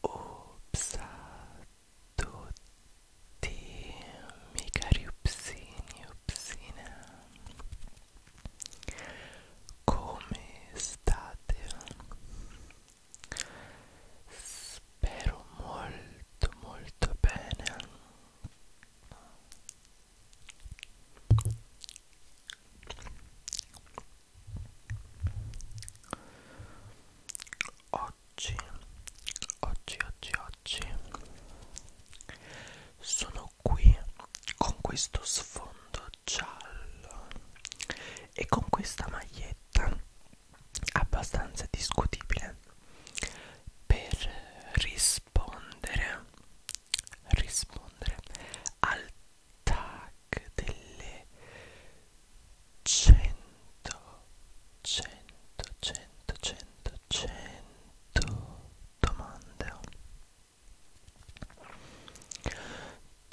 Obsato tutti, miei cari Come state? spero molto molto bene oggi oggi oggi oggi sono qui con questo sfondo fondo giallo e con questa maglietta abbastanza discutibile per rispondere rispondere al tag delle 100 100 100 100 100 domande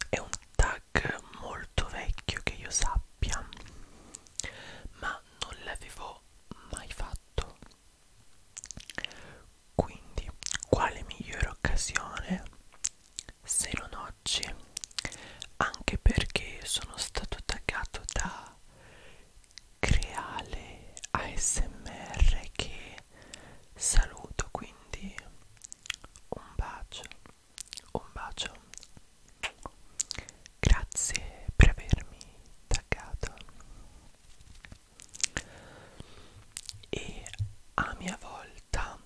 è un tag molto vecchio che io sappia ma non l'avevo mai fatto quindi quale migliore occasione se non oggi anche perché sono stato taggato da creale ASMR che saluto quindi un bacio, un bacio. Grazie per avermi taggato. E a mia volta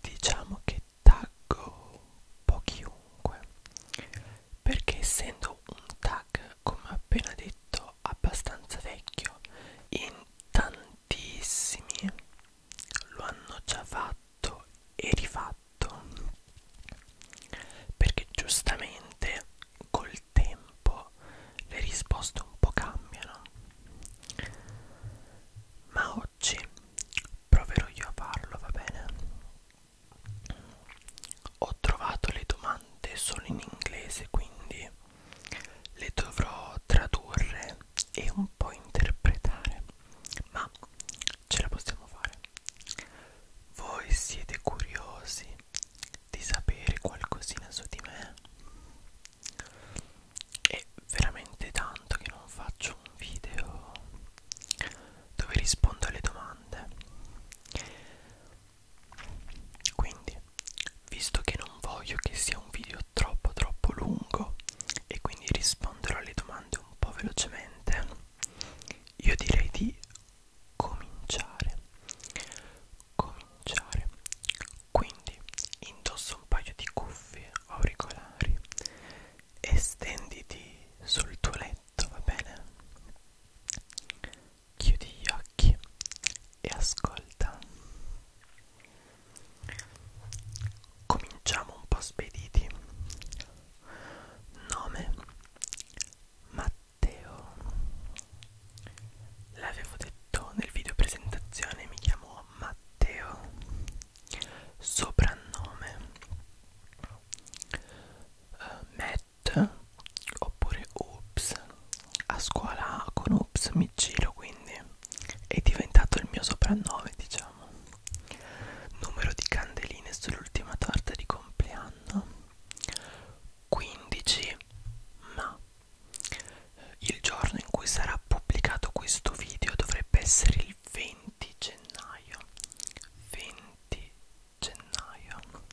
diciamo che taggo un po' chiunque perché essendo un tag come appena detto abbastanza vecchio in tantissimi lo hanno già fatto e rifatto perché giustamente col tempo le risposte un po' cambiano ma oggi proverò io a farlo va bene ho trovato le domande solo in inglese quindi le dovrò tradurre e un un po' interpretare, ma ce la possiamo fare. Voi siete curiosi di sapere qualcosina su di me? È veramente tanto che non faccio un video dove rispondo alle domande. Quindi Visto che non voglio che sia un video troppo troppo lungo e quindi risponderò alle domande un po' velocemente, io direi di cominciare. Cominciare. Quindi indosso un paio di cuffie auricolari e stenditi sul tuo letto, va bene? Chiudi gli occhi e ascolta. Cominciamo un po' spediti. Nome Matteo. L'avevo detto nel video presentazione, mi chiamo Matteo. Soprannome uh, Matt oppure Oops. A scuola con Oops mi giro quindi è diventato il mio soprannome diciamo numero di candeline sull'ultima torta di compleanno 15 ma il giorno in cui sarà pubblicato questo video dovrebbe essere il 20 gennaio 20 gennaio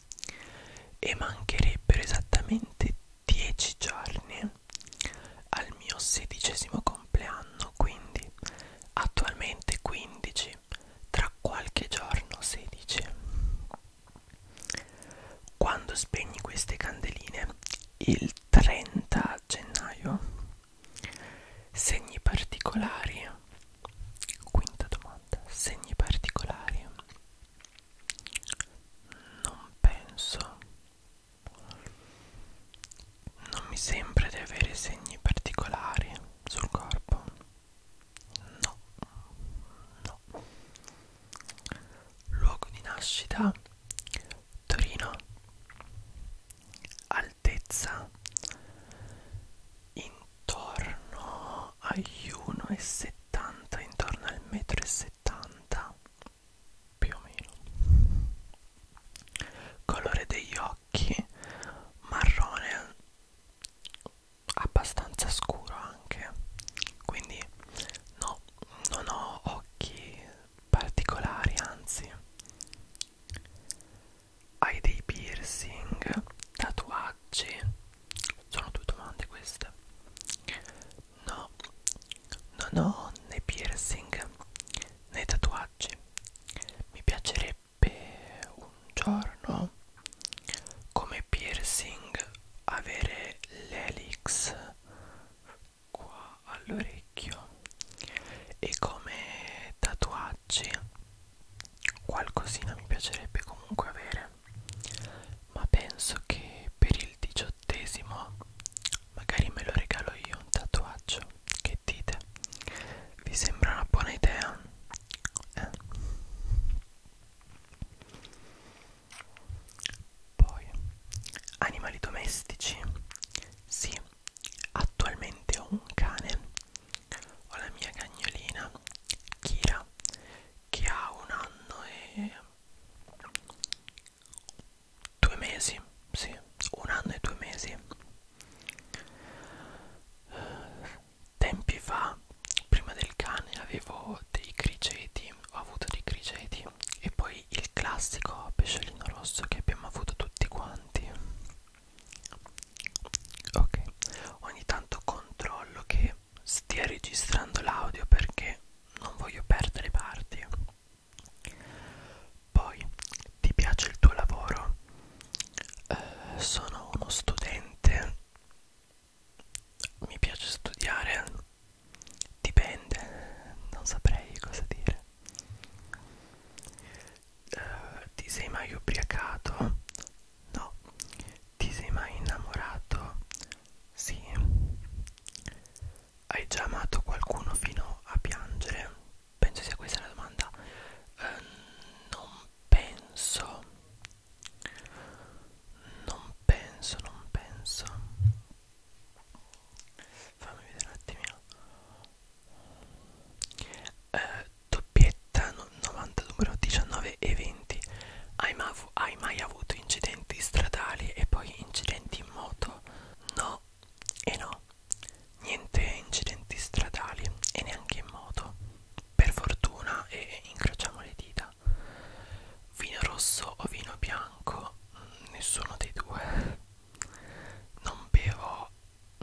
e mancherebbero esattamente 10 giorni al mio sedicesimo compleanno quindi attualmente 15 tra qualche giorno 16 quando spegni queste candeline il 30 gennaio segni particolari quinta domanda segni particolari non penso non mi sembra di avere segni particolari sul corpo. No, no. Luogo di nascita Torino. Altezza intorno agli 1,70, intorno al metro e 70 più o meno colore degli occhi marrone abbastanza scuro anche quindi no non ho occhi particolari anzi hai dei piercing tatuaggi sono due domande queste No, non ho né piercing né tatuaggi. Mi piacerebbe un giorno come piercing avere l'elix qua all'orecchio e come tatuaggi qualcosina mi piacerebbe comunque avere ma penso che per il diciottesimo magari me lo regalo io un tatuaggio che dite vi sembra una buona idea eh. poi animali domestici sì attualmente ho un cane ho la mia cagnolina Kira che ha un anno e due mesi, sì, un anno e due mesi. Eh, tempi fa, prima del cane, avevo dei criceti, ho avuto dei criceti e poi il classico pesciolino rosso che abbiamo avuto tutti quanti. Ok, ogni tanto controllo che stia registrando l'audio perché non voglio perdere parti. Poi, ti piace il tuo lavoro? Eh, sono uno studente. Mi piace studiare? Dipende, non saprei cosa dire. Eh, ti sei mai ubriacato? No. Ti sei mai innamorato? Sì. Hai già amato qualcuno fino a piangere? Penso sia questa la domanda. Eh, non penso. Non penso, non penso. Fammi vedere un attimino. Eh, doppietta no, 90 numero 19 e 20. Hai, ma av hai mai avuto incidenti stradali e poi incidenti in moto? No e no, niente incidenti stradali e neanche in moto. Per fortuna e incrociamo le dita. Vino rosso o vino bianco? Mm, nessuno dei due. Non bevo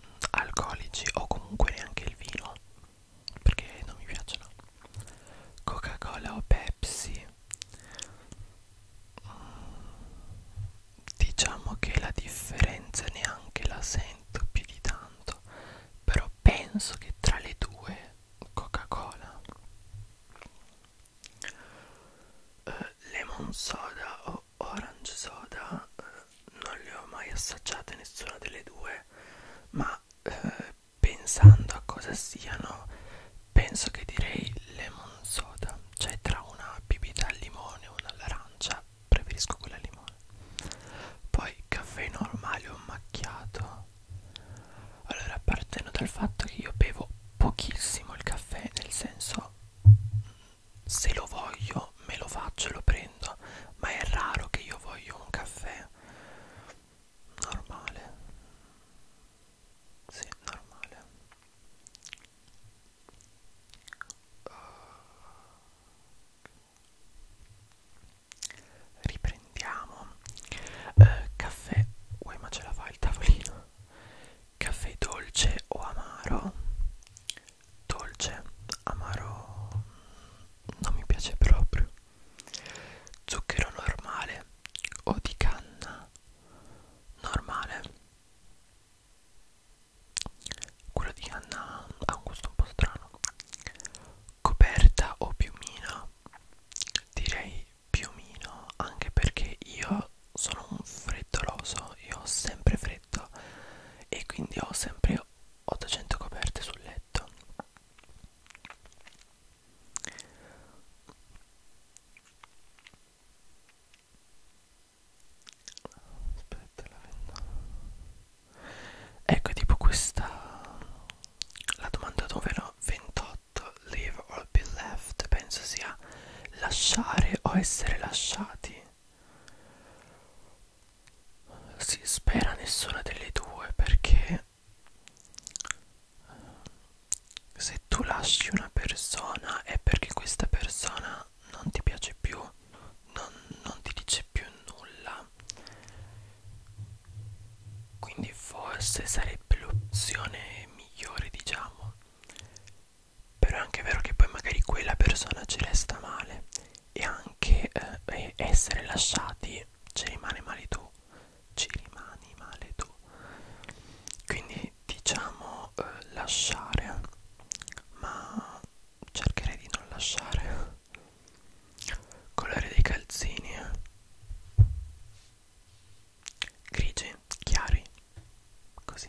mm, alcolici o comunque neanche il vino perché non mi piacciono. Coca-Cola o Pepsi? diciamo che la differenza neanche la sento più di tanto però penso che tra le due coca cola eh, lemon soda o orange soda eh, non le ho mai assaggiate nessuna delle due ma eh, pensando a cosa siano penso che direi lemon soda cioè tra una bibita al limone e una all'arancia preferisco quella al limone poi caffè normale o macchiato allora partendo dal fatto che io bevo pochissimo il caffè nel senso mm, se lo voglio me lo faccio e lo prendo ma è raro che io voglio un caffè normale sì, normale uh, Riprendiamo uh, Caffè Uè ma ce la fa il tavolino Caffè dolce o amaro? Dolce Amaro mm, Non mi piace proprio zucchero normale o di canna normale quello di canna ha un gusto un po' strano coperta o piumino direi piumino anche perché io sono un freddoloso io ho sempre freddo e quindi ho sempre 800 coperte sul letto aspetta la ventana ecco tipo questa la domanda numero 28 live or be left penso sia lasciare o essere lasciati si spera nessuna delle due perché se tu lasci una persona è perché questa persona non ti piace più, non, non ti dice più nulla. Quindi forse sarebbe l'opzione migliore, diciamo. Però è anche vero che poi magari quella persona ci resta male e anche eh, essere lasciati ci rimane male tu ci rimani male tu quindi diciamo eh, lasciare ma cercherei di non lasciare colore dei calzini grigi chiari così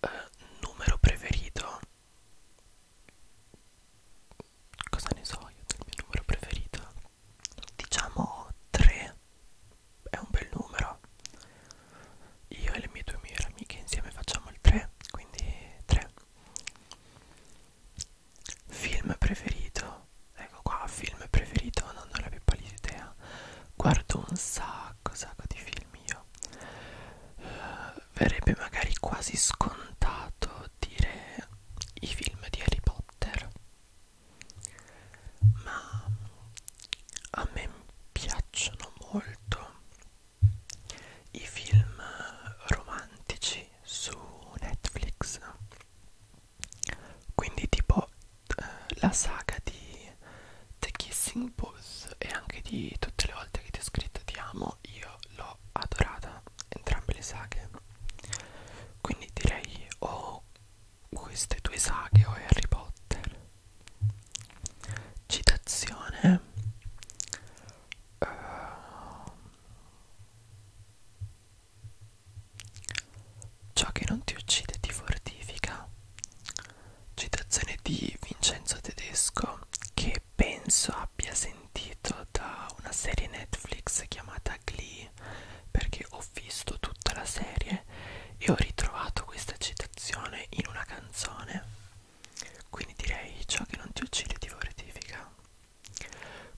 eh, numero preferito cosa ne so io del mio numero preferito diciamo 3 è un bel numero io e le mie due migliori amiche insieme facciamo il 3 quindi 3 film preferito ecco qua film preferito non ho la più pallida idea guardo un sacco sacco di film io uh, verrebbe magari quasi scontato dire i film di Harry Potter ma a me piacciono molto i film romantici su Netflix quindi tipo eh, la saga di The Kissing Booth e anche di tutte le volte che ti ho scritto ti amo io l'ho adorata entrambe le saghe quindi direi o queste due saghe o Harry Potter citazione uh, ciò che non ti uccide ti fortifica citazione di Vincenzo Tedesco che penso abbia sentito da una serie Netflix chiamata Glee perché ho visto tutta la serie e ho ritrovato questa citazione in una canzone. Quindi direi ciò che non ti uccide ti fortifica.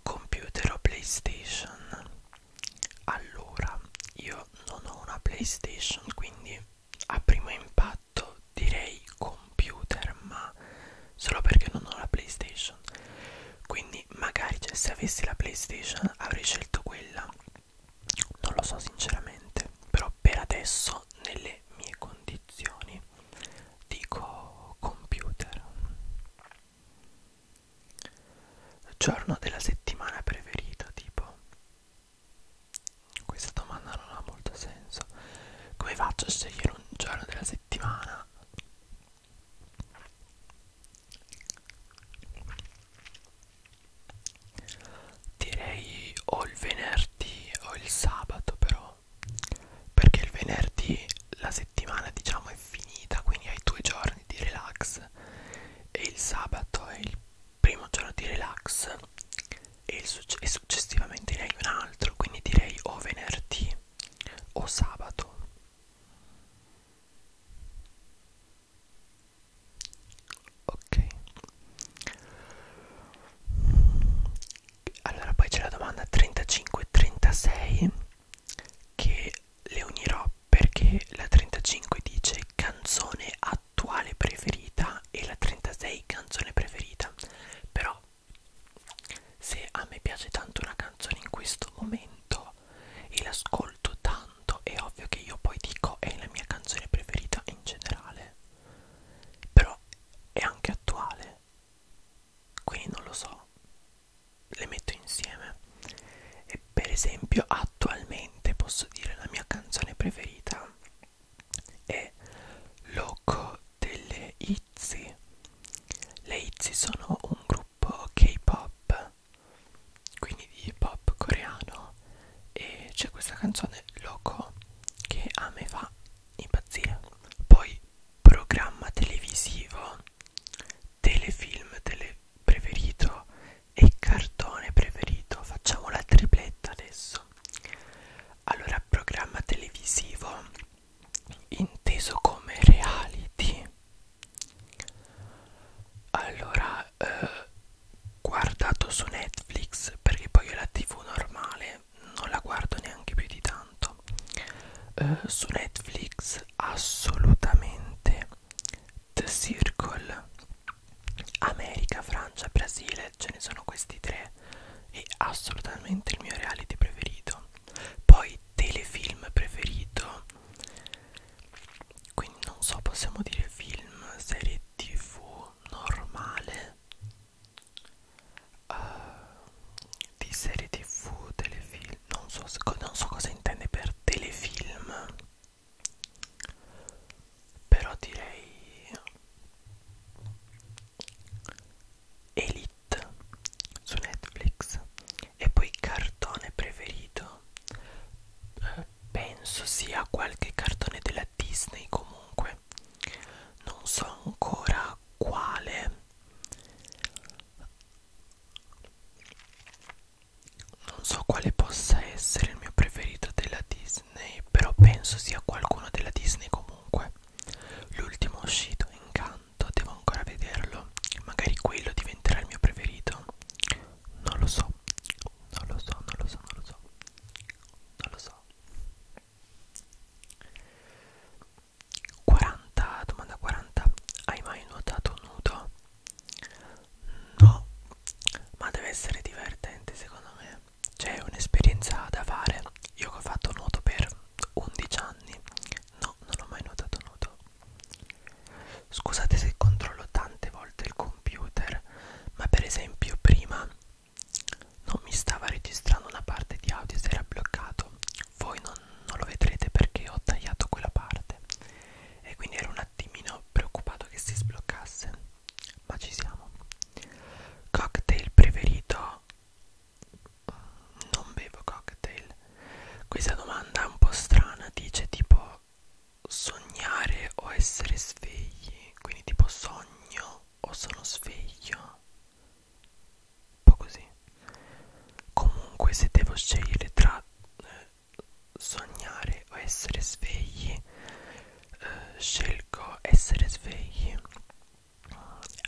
Computer o PlayStation? Allora, io non ho una PlayStation, quindi a primo impatto direi computer, ma solo perché non ho la PlayStation. Quindi magari cioè, se avessi la PlayStation avrei scelto quella. Non lo so sinceramente, però per adesso nelle mie condizioni dico computer. Giorno della settimana preferito, tipo questa domanda non ha molto senso. Come faccio a scegliere un giorno della settimana? Direi o il venerdì o il sabato però Perché il venerdì la settimana diciamo è finita Quindi hai due giorni di relax E il sabato è il primo giorno di relax E, il succe e successivamente ne hai un altro Quindi direi o venerdì o sabato ok allora poi c'è la domanda 35 36 che le unirò perché la 35 dice canzone attuale preferita e la 36 canzone preferita però se a me piace tanto una canzone in questo momento e l'ascolto tanto è ovvio che io poi dico è la mia canzone preferita in generale però è anche attuale quindi non lo so le metto insieme e per esempio attualmente posso dire la mia canzone preferita è Loco delle Izzy le Izzy sono un gruppo gruppo K-pop, quindi di hip hop coreano, e c'è questa canzone Loco che a me fa impazzire. Poi programma televisivo, telefilm tele preferito e cartone preferito. Facciamo la tripletta adesso. Allora, programma televisivo inteso come reality allora eh, guardato su Netflix perché poi io la tv normale non la guardo neanche più di tanto eh, su Netflix assolutamente The Circle America, Francia, Brasile ce ne sono questi tre e assolutamente il mio reality preferito poi telefilm preferito quindi non so possiamo dire film serie tv normale uh, di serie tv telefilm non so, non so cosa intende per telefilm però direi Elite It su Netflix e poi cartone preferito eh, penso sia qualche cartone della Disney comunque non so ancora quale non so quale possa essere il mio preferito della Disney però penso sia qualcuno della Disney comunque L'ultimo uscito, Incanto, devo ancora vederlo. Magari quello diventerà il mio preferito. Non lo so, non lo so, non lo so, non lo so. Non lo so. 40, domanda 40. Hai mai nuotato nudo? No, ma deve essere divertente secondo me. C'è cioè, un'esperienza da fare. Io che ho fatto nuoto per 11 anni no non ho mai nuotato nudo scusate se controllo tante volte il computer ma per esempio prima non mi stava registrando una parte di audio si era bloccato voi non, non lo vedrete perché ho tagliato quella parte e quindi ero un attimino preoccupato che si sbloccasse ma ci siamo cocktail preferito non bevo cocktail questa domanda è un po' strana dice tipo sognare o essere svegli quindi tipo sogno o sono sveglio un po' così comunque se devo scegliere tra eh, sognare o essere svegli eh, scelgo essere svegli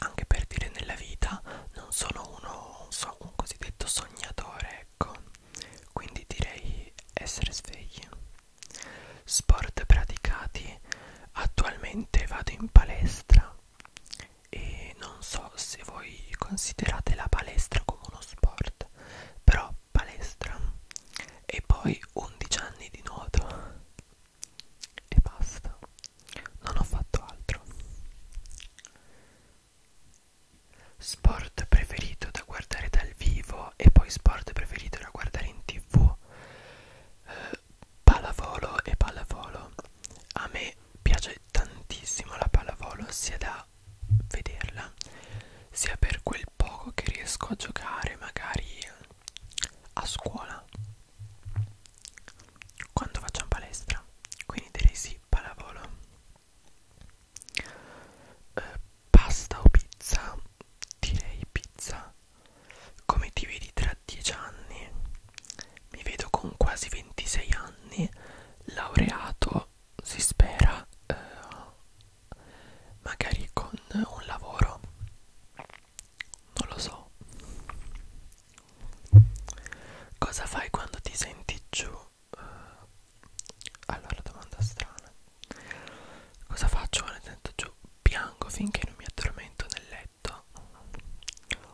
anche per dire nella vita non sono uno non so, un cosiddetto sognatore ecco quindi direi essere svegli sport praticati attualmente vado in palestra e non so se voi considerate la palestra come uno sport però palestra e poi 11 anni di nuoto e basta non ho fatto altro. Sport preferito da guardare dal vivo e poi sport preferito da guardare in tv. Eh, pallavolo e pallavolo. A me piace tantissimo la pallavolo sia da vederla sia per quel poco che riesco a giocare magari a scuola quando facciamo palestra quindi direi sì palavolo eh, pasta o pizza direi pizza come ti vedi tra 10 anni mi vedo con quasi 26 anni laureato si spera eh, magari con un lavoro non lo so Cosa fai quando ti senti giù? Uh, allora, domanda strana. Cosa faccio quando mi sento giù? Piango finché non mi addormento nel letto?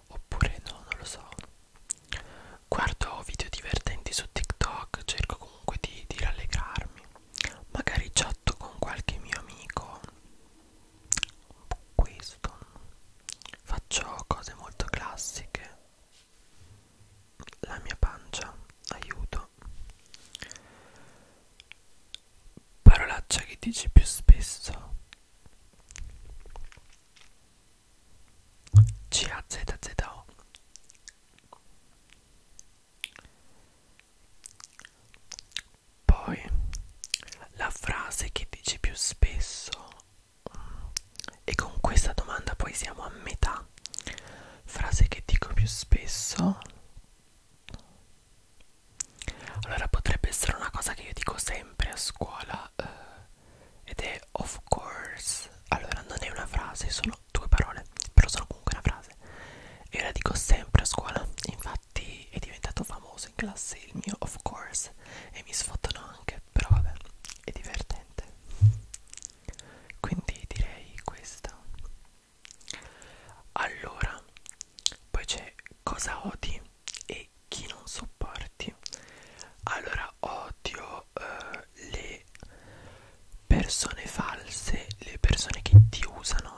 Oppure no, non lo so. Guardo video divertenti su TikTok, cerco comunque di, di rallegrarmi. Magari chatto con qualche mio amico questo faccio cose molto classiche la mia pancia aiuto parolaccia che dici più spesso CAZZO poi la frase che dici più spesso e con questa domanda poi siamo a metà. Frase che dico più spesso. Allora potrebbe essere una cosa che io dico sempre a scuola eh, ed è of course. Allora non è una frase, sono due parole, però sono comunque una frase. Io la dico sempre a scuola, infatti infatti è diventato famoso in classe il mio of course e mi sfottono anche, però vabbè, è divertente. Quindi direi questo. Allora, poi c'è cosa odi e chi non sopporti. Allora, odio eh, le persone false, le persone che ti usano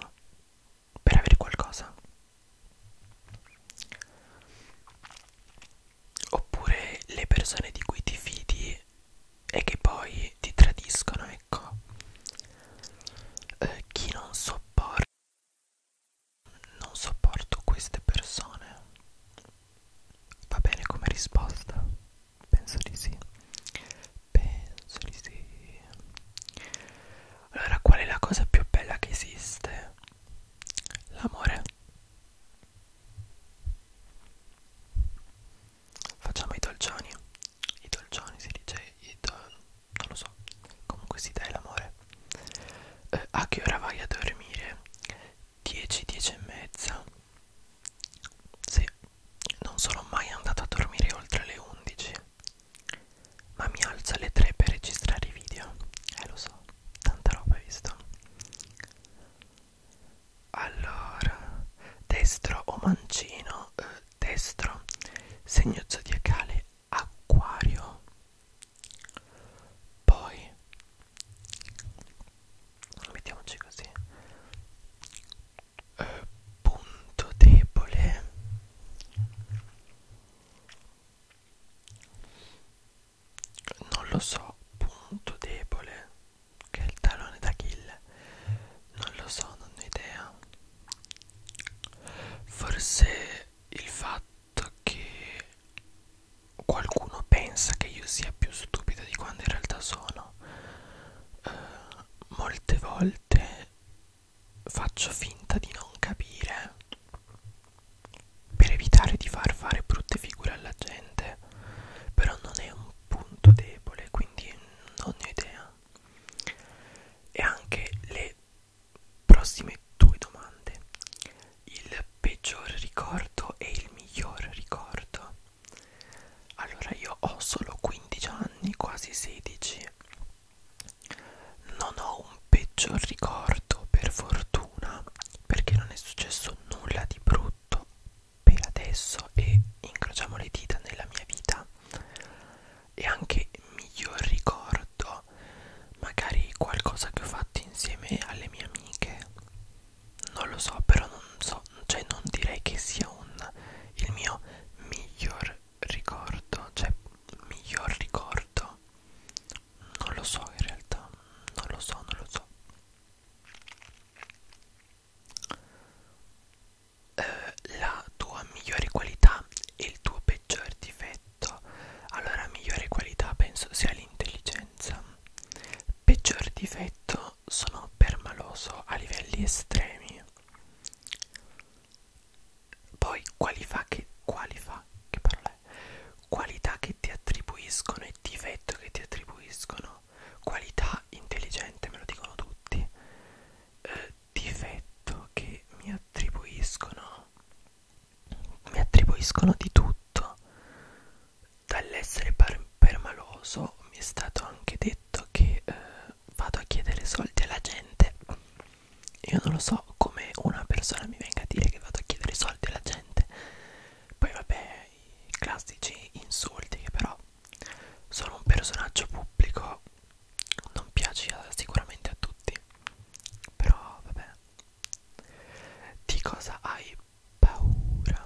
per avere qualcosa oppure le persone di cui ti fidi e che poi ti tradiscono ecco eh, chi non sopporta non sopporto queste persone va bene come risposta penso di sì penso di sì allora qual è la cosa più bella che esiste l'amore facciamo i dolcioni i dolcioni si dice i do... non lo so comunque si dai l'amore eh, a che ora vai a dormire 10 10 e mezza sì non sono mai andato a dormire oltre le 11 ma mi alza alle 3 per registrare i video. Eh lo so, tanta roba hai visto. Allora, destro o mancino? Eh, destro, segno zodiacale acquario. Poi, mettiamoci così. Eh, punto debole non lo so punto debole che è il tallone d'Achille non lo so non ho idea forse il fatto che qualcuno pensa che io sia più stupido di quando in realtà sono eh, molte volte faccio finta di non capire per evitare di far fare brutte figure alla gente però non è un punto debole quindi non ne ho idea e anche le prossime due domande il peggior ricordo e il miglior ricordo allora io ho solo 15 anni quasi 16 non ho un peggior ricordo, per fortuna, perché non è successo nulla di brutto per adesso e incrociamo le dita nella mia vita. E anche miglior ricordo, magari qualcosa che ho fatto insieme alle mie amiche. Non lo so, però non so, cioè non direi che sia un il mio miglior ricordo, cioè miglior ricordo, non lo so in realtà, non lo so, non lo so. Eh, la tua migliore qualità e il tuo peggior difetto. Allora, migliore qualità penso sia l'intelligenza. Peggior difetto sono permaloso a livelli estremi. Poi qualità che, qualità, che parola è? qualità che ti attribuiscono e difetto che ti attribuiscono. Qualità intelligente, me lo dicono tutti. Eh, difetto che mi attribuiscono. Mi attribuiscono di tutto. Dall'essere permaloso mi è stato anche detto che eh, vado a chiedere soldi alla gente io non lo so come una persona mi venga a dire che vado a chiedere soldi alla gente. Poi vabbè, i classici insulti che però sono un personaggio pubblico, non piace sicuramente a tutti. Però vabbè. Di cosa hai paura?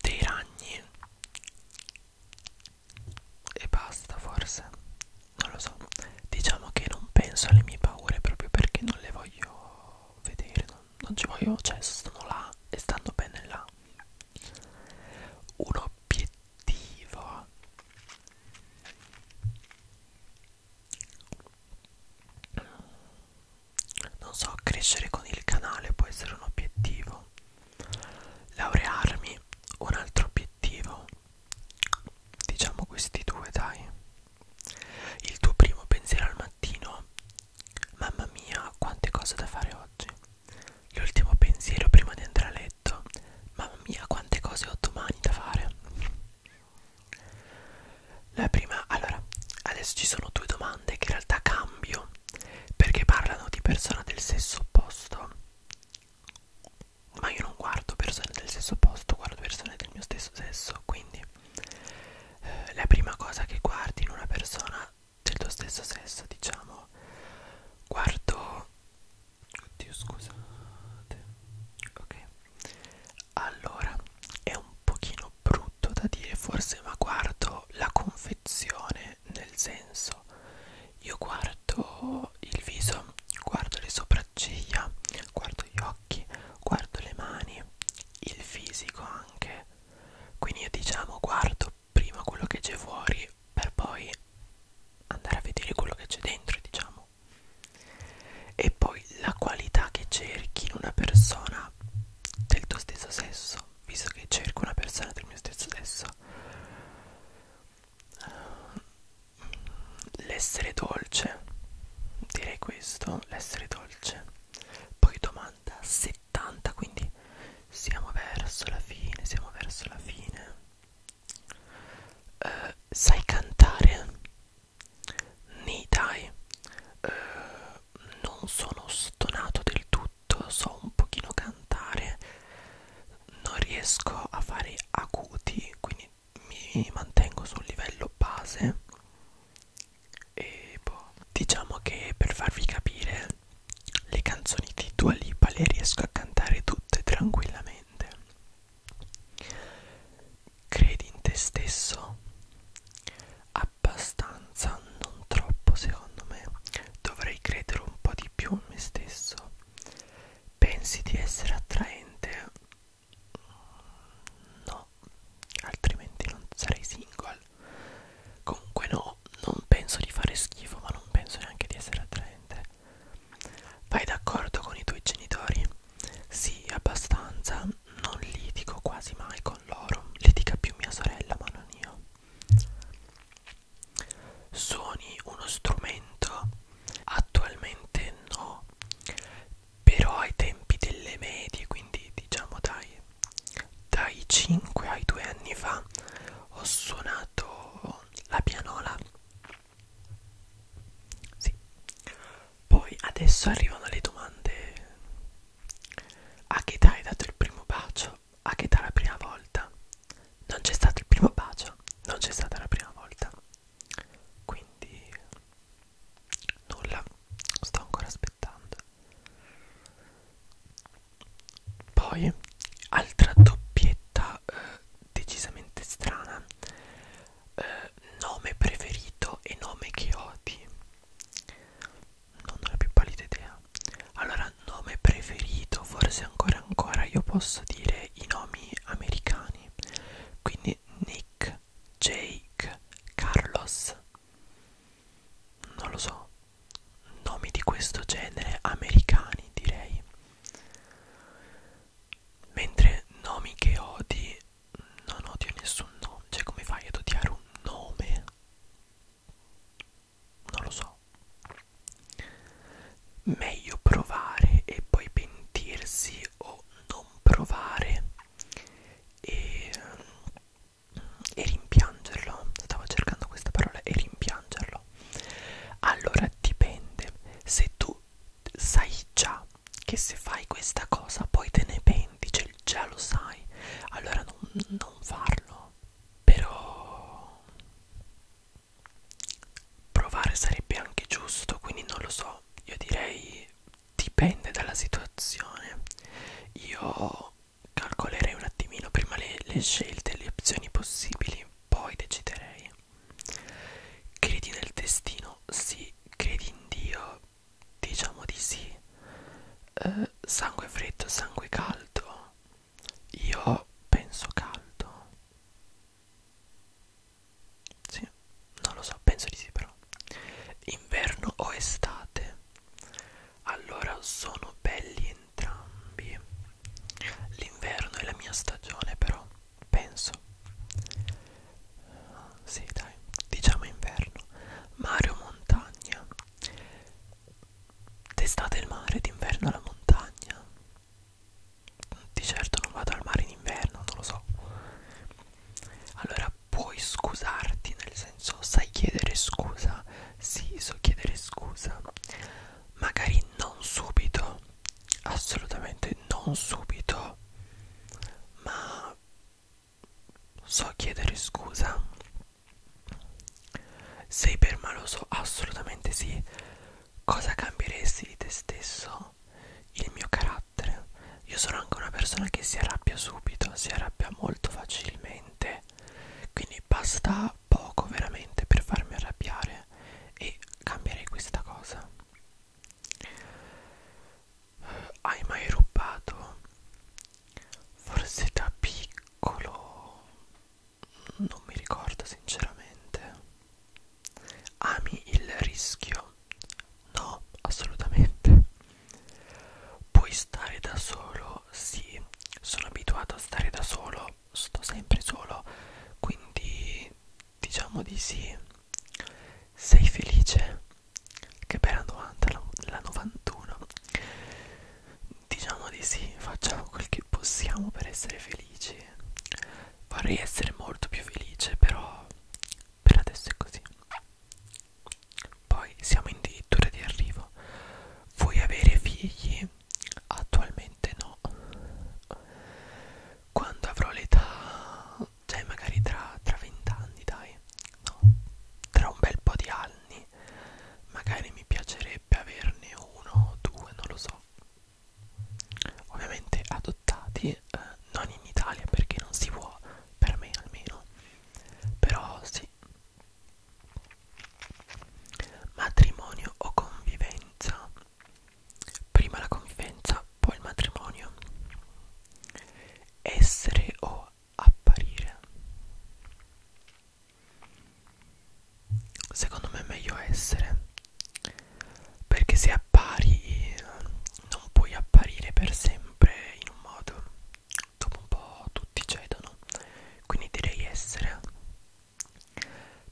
Dei ragni. E basta forse non lo so diciamo che non penso alle mie paure proprio perché non le voglio vedere non, non ci voglio cioè sono là e stando bene là un obiettivo non so crescere con il canale può essere un obiettivo laurearmi un altro obiettivo cattivo? Diciamo questi due, dai. Il tuo primo pensiero al mattino? Mamma mia, quante cose da fare oggi. L'ultimo pensiero prima di andare a letto? Mamma mia, quante cose ho domani da fare. La prima, allora, adesso ci sono due domande che in realtà cambio perché parlano di persona del sesso opposto ma io non guardo persone del stesso posto, guardo persone del mio stesso sesso, quindi eh, la prima cosa che guardi in una persona del tuo stesso sesso, diciamo, guardo, oddio scusate, ok, allora è un pochino brutto da dire forse, ma guardo la confezione nel senso, io guardo guardo il viso, guardo le sopracciglia, guardo gli occhi, guardo le mani, il fisico anche. Quindi io diciamo guardo prima quello che c'è fuori per poi andare a vedere quello che c'è dentro, diciamo. E poi la qualità che cerchi in una persona del tuo stesso sesso, visto che cerco una persona del mio stesso sesso l'essere dolce direi questo l'essere dolce poi domanda 70 quindi siamo verso la fine siamo verso la fine uh, sai cantare ni dai uh, non sono stonato del tutto so un pochino cantare non riesco a fare acuti quindi mi mantengo sul livello base e boh. diciamo che per farvi capire le canzoni di Dua Lipa le riesco a cantare tutte tranquillamente credi in te stesso abbastanza non troppo secondo me dovrei credere un po' di più in me stesso pensi di essere attraente mm, no altrimenti non sarei single comunque no non penso di fare schifo ma non penso neanche di essere attraente vai d'accordo con i tuoi genitori sì abbastanza non litigo quasi mai con loro litiga più mia sorella ma non io suoni uno strumento attualmente no però ai tempi delle medie quindi diciamo dai dai 5 ai 2 anni fa ho suonato la pianola sì. poi adesso arrivano le domande a che età hai dato il primo bacio a che età la prima volta non c'è stato il primo bacio, non c'è stata la prima volta. Quindi nulla, sto ancora aspettando. Poi altra doppietta eh, decisamente strana. Eh, nome preferito e nome che odi. Non ho la più pallida idea. Allora, nome preferito, forse ancora ancora io posso dire i nomi americani quindi Nick, Jake, Carlos non lo so nomi di questo genere americani direi mentre nomi che odi non odio nessun nome cioè come fai ad odiare un nome non lo so Meglio provare e poi pentirsi o non provare e, e rimpiangerlo. Stavo cercando questa parola e rimpiangerlo. Allora dipende se tu sai già che se fai questa cosa poi te ne penti, cioè già lo sai, allora non, non farlo. Però provare sarebbe anche giusto quindi non lo so io direi dipende dalla situazione io calcolerei un attimino prima le, le scelte le opzioni possibili poi deciderei credi nel destino sì credi in dio diciamo di sì eh, sangue freddo sangue caldo io penso caldo sì, non lo so, penso di sì però. Inverno o estate? Allora sono belli entrambi. L'inverno è la mia stagione però, penso. Sì, dai, diciamo inverno. Mare o montagna? D'estate il mare, d'inverno la montagna di certo non vado al mare in inverno, non lo so. Allora puoi scusarti, nel senso sai chiedere scusa? Sì, so chiedere scusa. Magari non subito, assolutamente non subito, ma so chiedere scusa. Sei per maloso? Assolutamente sì. Cosa cambieresti di te stesso? Il mio carattere. Io sono anche una persona che si arrabbia subito, si arrabbia molto facilmente. Quindi basta poco veramente per farmi arrabbiare e cambierei questa cosa. Hai mai rubato? Forse da piccolo non mi ricordo sinceramente ami il rischio no assolutamente puoi stare da solo sì sono abituato a stare da solo sto sempre solo quindi diciamo di sì sei felice che bella domanda la 91 diciamo di sì facciamo quel che possiamo per essere felici felice vorrei essere molto più felice però per adesso è così poi siamo addirittura di arrivo vuoi avere figli? attualmente no quando avrò l'età cioè magari tra, tra 20 anni dai no tra un bel po' di anni magari mi piacerebbe averne uno o due non lo so ovviamente adottati eh, non in Italia perché non si può per me almeno però sì matrimonio o convivenza prima la convivenza poi il matrimonio essere o apparire secondo me è meglio essere perché se appari non puoi apparire per sempre in un modo dopo un po' tutti cedono quindi direi essere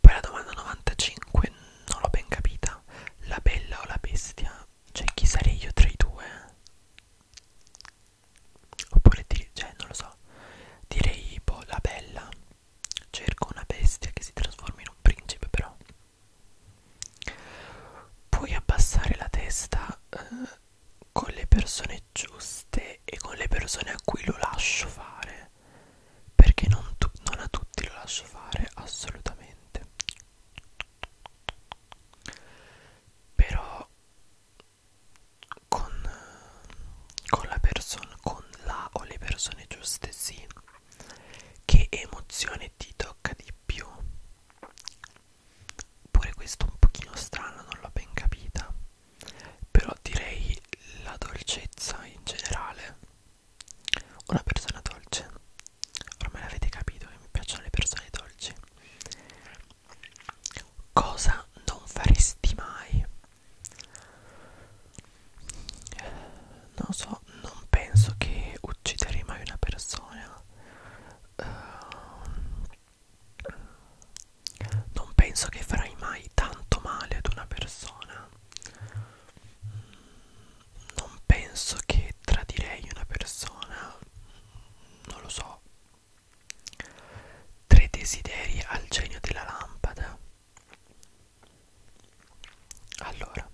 poi la domanda 95 non l'ho ben capita la bella o la bestia cioè chi sarei io tra i due oppure dire, cioè non lo so direi boh la bella Cerco una bestia che si trasformi in un principe però. Puoi abbassare la testa eh, con le persone giuste e con le persone a cui lo lascio fare. Perché non, non a tutti lo lascio fare, assolutamente. Però con con la persona con la o le persone giuste sì che emozione ti tocca di più pure questo un pochino strano non l'ho ben capita però direi la dolcezza in generale una persona dolce ormai l'avete capito che mi piacciono le persone dolci cosa non faresti mai non so non penso che ucciderei mai una persona uh, non penso che farai mai tanto male ad una persona non penso che tradirei una persona non lo so tre desideri al genio della lampada allora,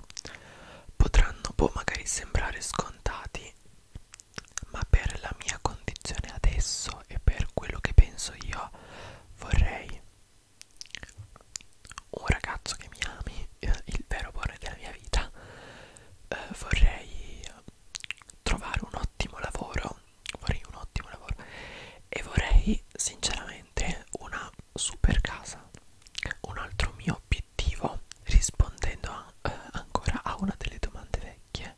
potranno poi boh, magari sembrare scontati, ma per la mia condizione adesso e per quello che penso io, vorrei un ragazzo che mi ami, eh, il vero amore della mia vita, eh, vorrei trovare un ottimo lavoro vorrei un ottimo lavoro e vorrei sinceramente una super casa un altro mio obiettivo rispondendo a, eh, ancora a una delle domande vecchie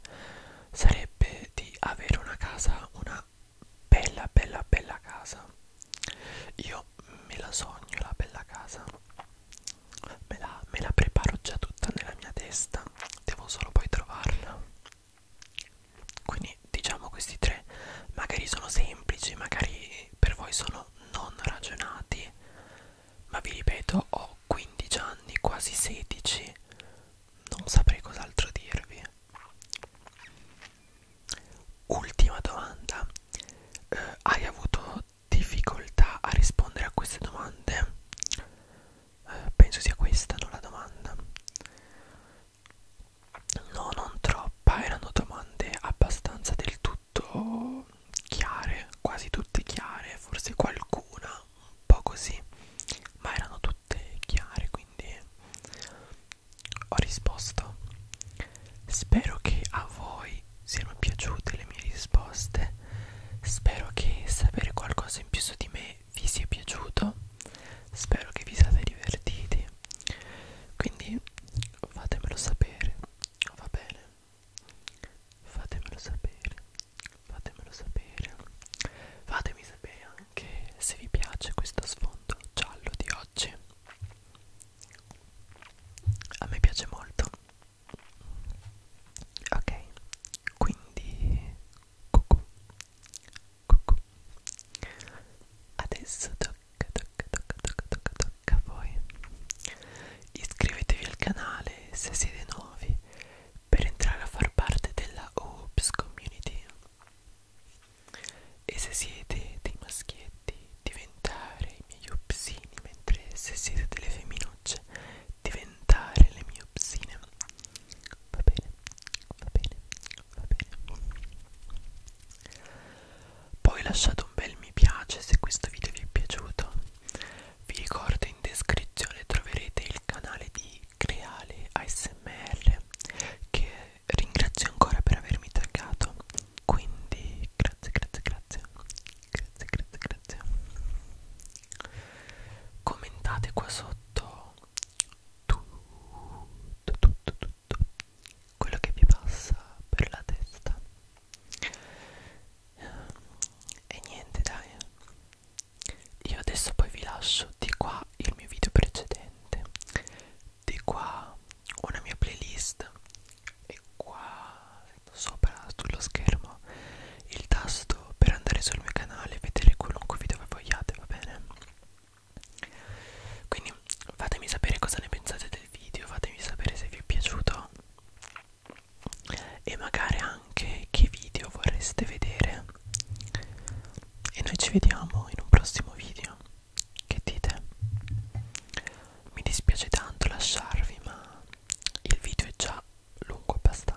sarebbe di avere una casa una bella bella bella casa io me la sogno la bella casa me la, me la preparo già tutta nella mia testa devo solo poi trovarla quindi diciamo questi tre magari sono semplici magari per voi sono non ragionati ma vi ripeto ho 15 anni quasi 16 non saprei cos'altro dirvi ultima domanda eh, hai avuto difficoltà a rispondere a queste domande eh, penso sia questa non la domanda No, non troppa, erano domande abbastanza del tutto chiare, quasi tutte chiare, forse qualcuna un po' così, ma erano tutte chiare, quindi ho risposto. Spero che a voi siano piaciute le mie risposte, spero che sapere qualcosa in più su di me vi sia piaciuto spero che vi siate divertiti quindi fatemelo sapere va bene fatemelo sapere fatemelo sapere fatemi sapere anche se vi piace questo sfondo giallo di oggi a me piace molto ok quindi cucù, cucù. Adesso tocca, tocca, tocca, tocca, tocca, tocca a voi. Iscrivetevi al canale se siete nuovi per entrare a far parte della Oops Community. E se siete dei maschietti, diventare i miei upsini, mentre se siete delle femminucce, diventare le mie upsine. Va bene, va bene, va bene. Poi lasciate un bel mi piace se questo video vi è piaciuto. Vi ricordo in descrizione troverete il canale di Creale ASMR che ringrazio ancora per avermi taggato. Quindi grazie, grazie, grazie. Grazie, grazie, grazie. Commentate qua sotto tutto, tutto, tutto quello che vi passa per la testa e niente dai io adesso poi vi lascio di qua il mio video precedente di qua una mia playlist e qua sopra sullo schermo il tasto per andare sul mio canale e vedere qualunque video che vogliate va bene quindi fatemi sapere cosa ne pensate del video fatemi sapere se vi è piaciuto e magari anche che video vorreste vedere e noi ci vediamo in un prossimo video che dite mi dispiace tanto lasciarvi ma il video è già lungo abbastanza